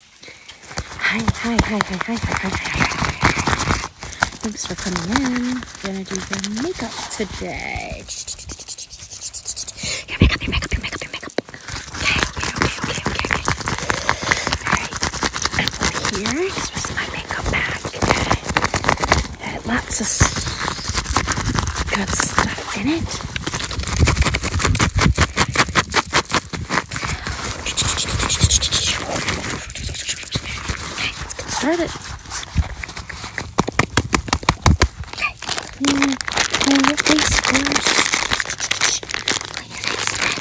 Hi, hi, hi, hi, hi, hi, hi, hi. Thanks for coming in. We're Gonna do your makeup today. Your makeup, your makeup, your makeup, your makeup. Okay, here. This was my makeup bag. It had lots of good stuff in it. Okay, let's get started. Clean, clean your face first. Clean your face first.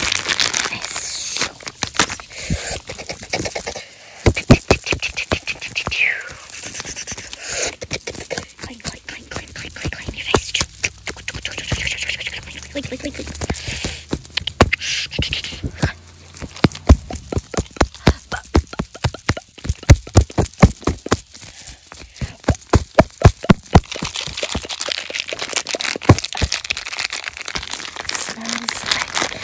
Nice. Clean, clean clean, clean, clean, clean, clean, clean your face. Clean, clean, clean, clean. Smells like coconut and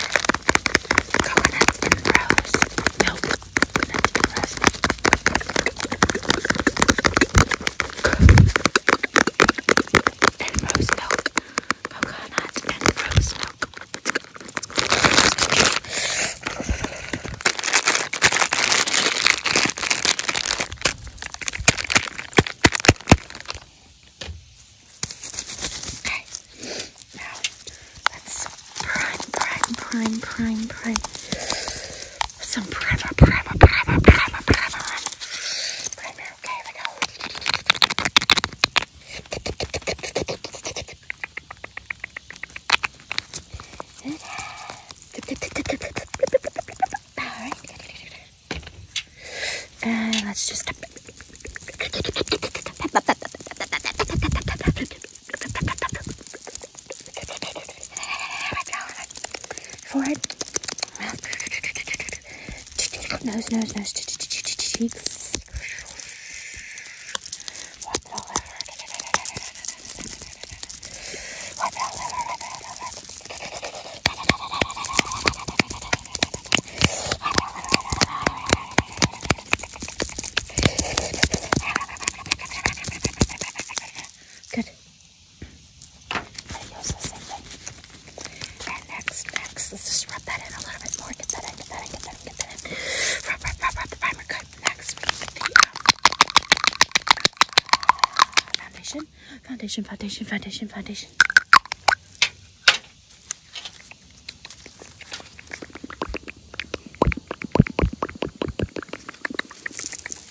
rose milk. Coconut and rose milk milk and rose milk. Coconut and rose milk. Okay, now let's prime, prime, prime, prime, prime some primer, primer, primer, primer, primer. Primer, okay, here we go. Alright. And let's just Forehead, mouth, nose, nose, nose, cheeks. Wipe it all over. Wipe it all over. Good. I use the same thing. And next, next, let's just rub that in a little bit more. Get that in, get that in, get that in, get that in. Rub, rub, rub, rub the primer. Good. Next, we need the uh, foundation. Foundation, foundation, foundation, foundation.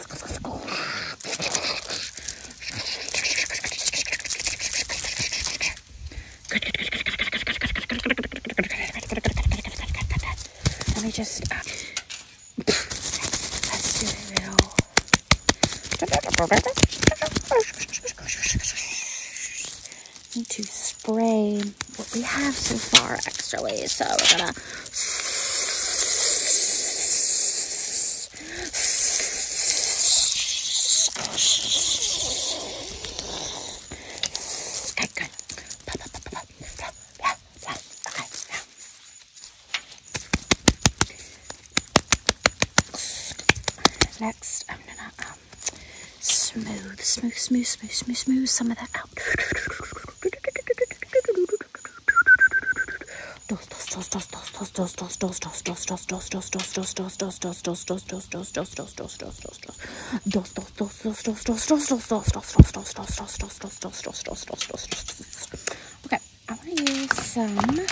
Let me just, uh, let's do a little. Need to spray what we have so far, actually. So we're gonna Okay, good. Okay, now. Next, I'm gonna um, smooth, smooth, smooth, smooth, smooth, smooth some of that out. Okay, I'm gonna use some of this.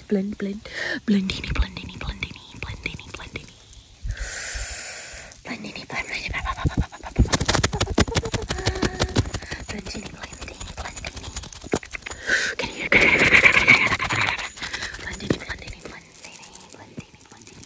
blend, blend, blend, blendini, blendini, blendini, blendini, blendini, blendini, blendini, blendini, blendini, blendini, Can you blendini, blendini, blendini, blendini, blendini.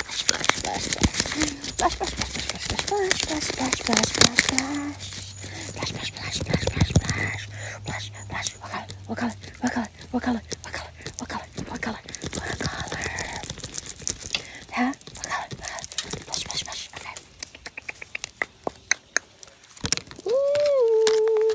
splash, splash, splash, splash, splash, splash, splash, splash, splash, splash, splash, splash, splash, splash, splash, splash, splash, splash, splash, splash. What color? What color? What color? What color? What color? What color? What color? Huh? What color? Splash, splash, splash. Okay. Ooh.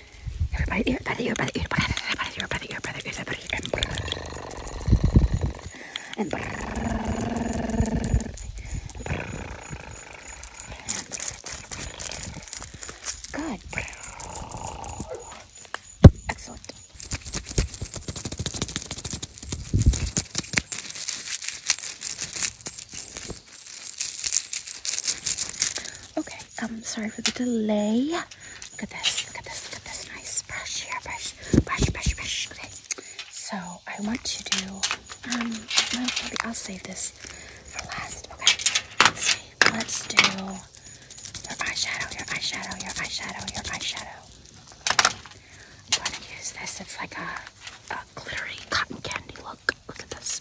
Everybody ear, by the ear, by the ear, by the ear, by the ear, by the ear, by the ear, and brrr, and brrr. Good. Excellent. Okay, um, sorry for the delay. Look at this, look at this, look at this nice brush here, brush, brush, brush, brush. Okay, so I want to do, um, well, maybe I'll save this for last. Okay, let's see, let's do your eyeshadow, your eyeshadow, your eyeshadow, your eyeshadow. I'm going to use this, it's like a, a glittery cotton candy look. Look at this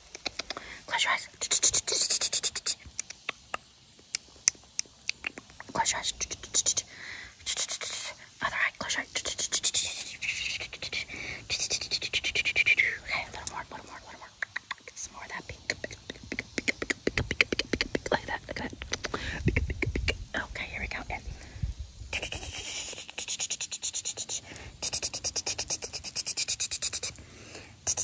Close your eyes. Close your eyes. Other eye. Close your eyes. Okay, a little more, a little more, a little more. Get some more of that pink. Look at that, look at that. Okay, here we go. In. Okay.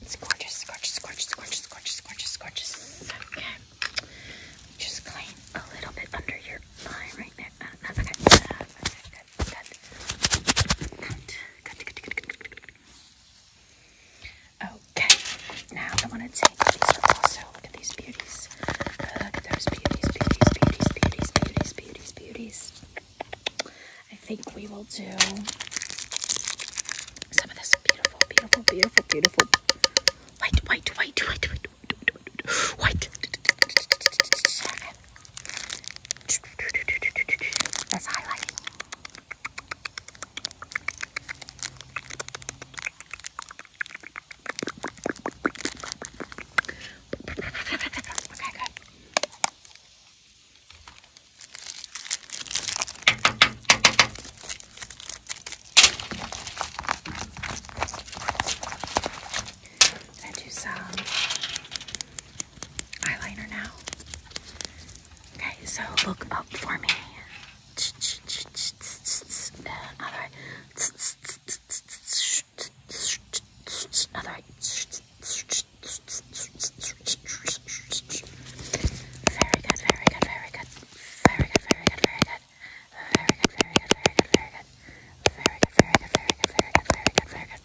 It's gorgeous, gorgeous, gorgeous, gorgeous, gorgeous, gorgeous, gorgeous. Okay. Just clean a little bit under your eye right there. Uh, okay. Uh, good, good. Good, good, good, good, good, good. Okay, now I want to take these up Look at these beauties. Look at those beauties, beauties, beauties, beauties, beauties, beauties, beauties. I think we will do some of this beautiful, beautiful, beautiful, beautiful white, white, white, white, white, white, white. That's Okay, good. I do some eyeliner now. Okay, so look up for me. Another Very good, very good, very good. Very good, very good, very good, very good. Very good, very good, very good, very good, very good, very good.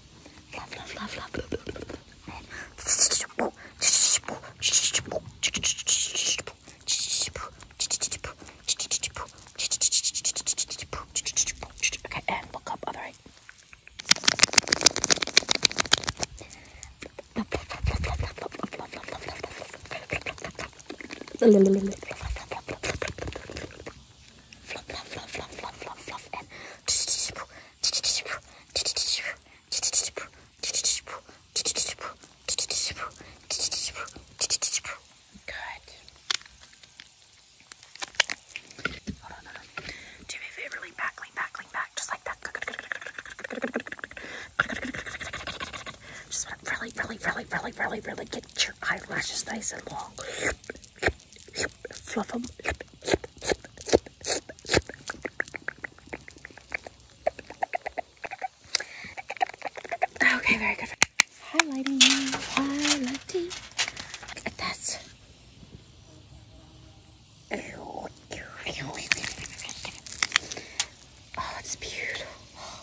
Love, love, love, love, love, love, love. Okay, and look up, all right fluff, fluff, fluff, fluff, fluff, fluff, fluff, and good. Hold on, hold on. Do me a favor, lean back, lean back, lean back, just like that. Just want to really, really, really, really, really, really get your eyelashes nice and long fluff them. Okay, very good. Highlighting, highlighting. Oh, it's beautiful.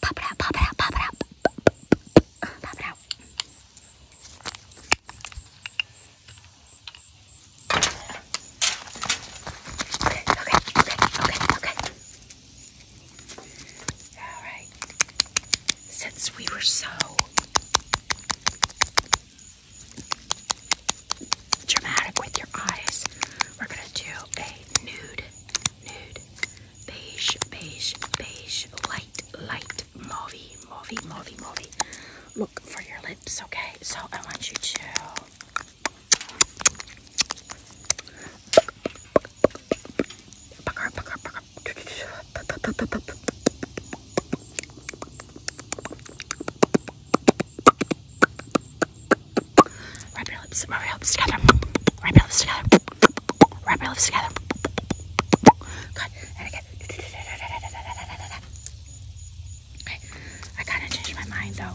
Pop it out, pop it out, pop it out. Pop it out. Okay, okay, okay, okay, okay. Alright. Since we were so dramatic with your eyes, we're gonna do a nude, nude, beige, beige, beige, light, light, mauvey, mauvey, mauvey, mauvey. Look for your lips, okay? So I want you to Rub your lips, rub your lips together, rub your lips together. Wrap your lips together. Okay. I kind of changed my mind though.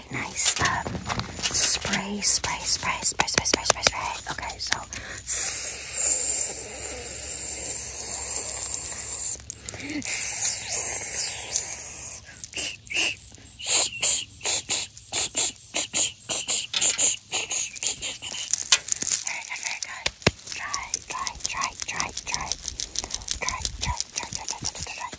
a nice um, spray, spray, spray, spray, spray, spray, spray, spray. Okay, so very good, very good. Try, try, try, try, try, try, try, try, try, try, try, try, try, try,